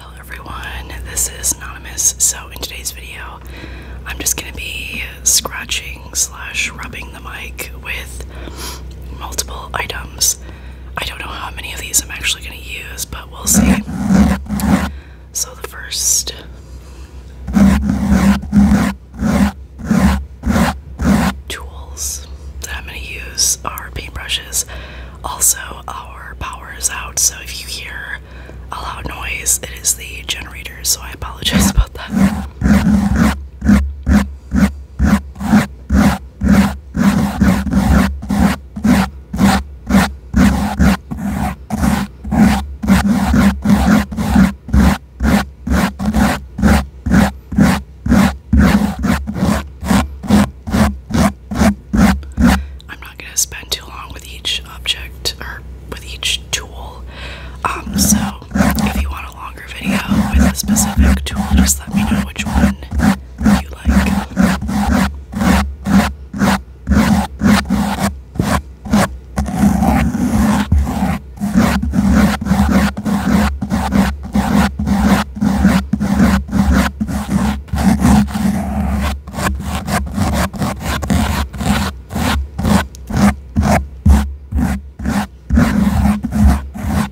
Hello everyone, this is Anonymous. So in today's video, I'm just gonna be scratching slash rubbing the mic with multiple items. I don't know how many of these I'm actually gonna use, but we'll see. So the first tools that I'm going to use are paintbrushes. Also, our power is out, so if you hear a loud noise, it is the generator, so I apologize about that. I'm not going to spend too long with each object or with each tool. Um, so if you want a longer video with a specific tool, just let me know which one you like.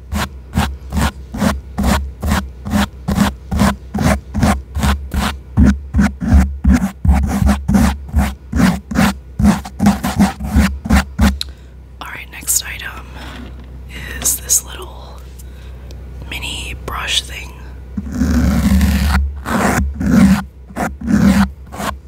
All right, next item is this little mini brush thing.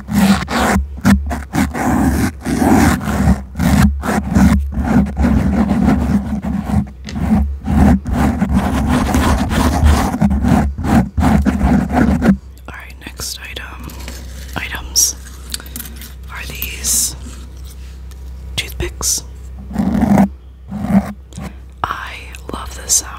All right, next item items are these toothpicks. I love this sound.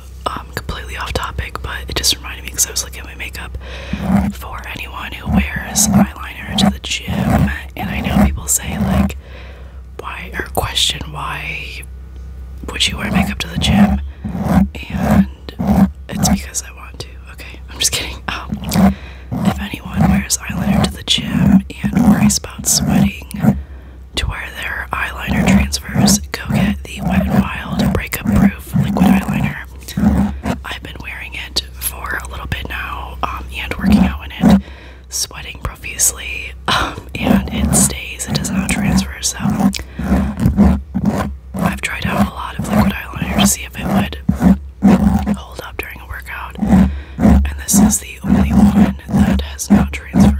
um, completely off topic, but it just reminded me because I was looking at my makeup for anyone who wears eyeliner to the gym, and I know people say like, why or question why would you wear makeup to the gym? And it's because I want to. Okay, I'm just kidding. Um, if anyone wears eyeliner to the gym and worries about sweating to where their eyeliner transfers, go get the Wet n Wild Breakup Proof liquid eyeliner. I've been wearing it for a little bit now um, and working out in it, sweating profusely, um, and it stays, it does not transfer. So I've tried out a lot of liquid eyeliner to see if it would hold up during a workout, and this is the only one that has not transferred.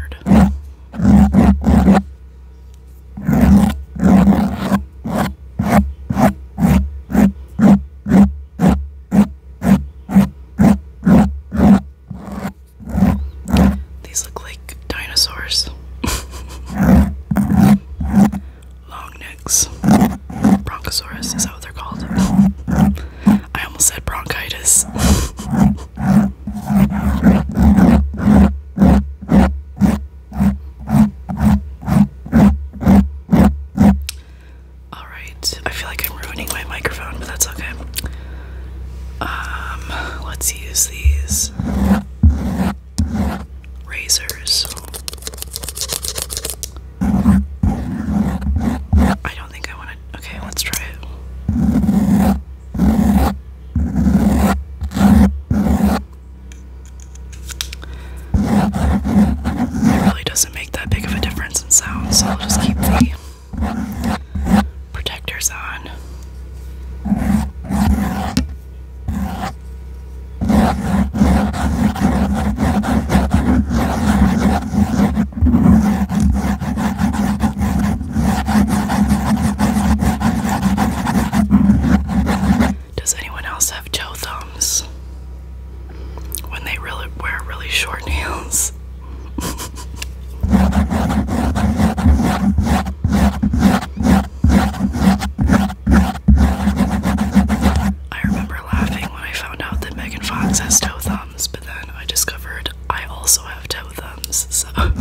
These look like dinosaurs. Long necks. Bronchosaurus, is that what they're called? I almost said bronchitis. All right, I feel like I'm ruining my microphone, but that's okay. Um, let's use these razors. I don't think I want to. Okay, let's try it. It really doesn't make that big of a difference in sound, so I'll just keep the protectors on. Does anyone else have toe thumbs? When they really wear really short nails. I remember laughing when I found out that Megan Fox has toe thumbs, but then I discovered I also have toe so. Alright,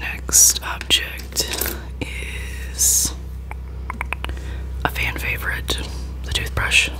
next object is a fan favorite the toothbrush.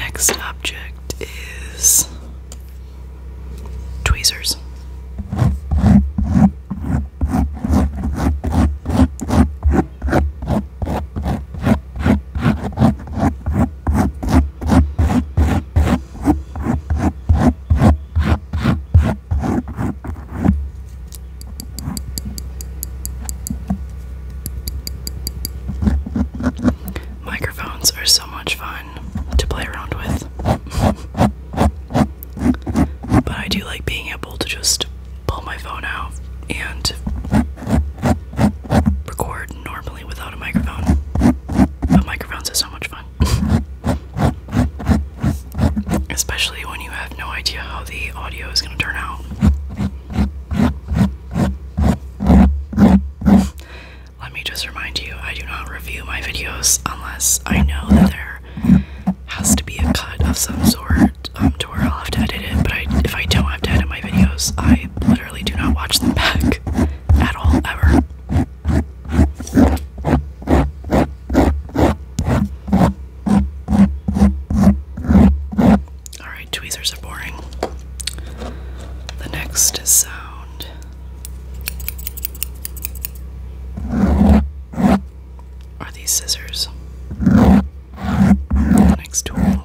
Next object is tweezers. Microphones are so much fun to play around with. But I do like being able to just pull my phone out and record normally without a microphone. But microphones are so much fun. Especially when you have no idea how the audio is going to turn out. Let me just remind you I do not review my videos unless I know that they're has to be a cut of some sort um, to where I'll have to edit it. But I, if I don't have to edit my videos, I literally do not watch them back at all, ever. Alright, tweezers are boring. The next sound are these scissors. Next tool.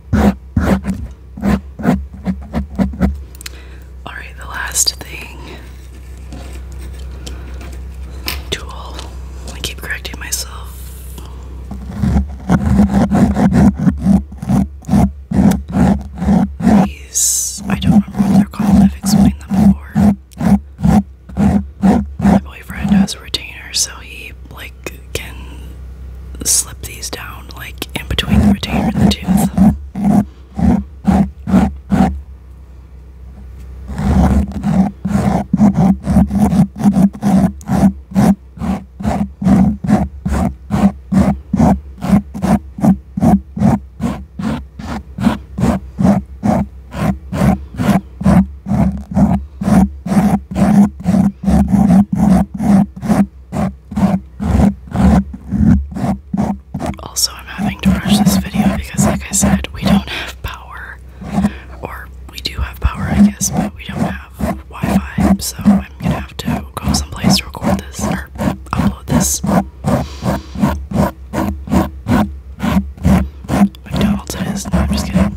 Alright, the last thing. Tool. I keep correcting myself. These, I don't remember what they're called, I've explained them before. My boyfriend has a so he like can slip these down like in between the retainer and the tooth. Also, I'm having to rush this video because, like I said, we don't have power. Or we do have power, I guess, but we don't have Wi Fi, so I'm gonna have to go someplace to record this or upload this. McDonald's No, I'm just kidding.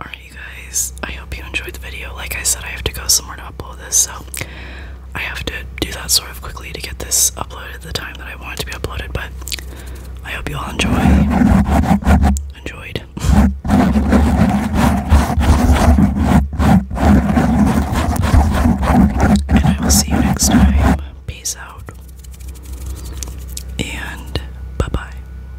Alright, you guys, I hope you enjoyed the video. Like I said, I have to go somewhere to upload this, so I have to do that sort of quickly to get this uploaded at the time that I want it to be uploaded, but I hope you all enjoy. Enjoyed. and I will see you next time. Peace out. And bye bye.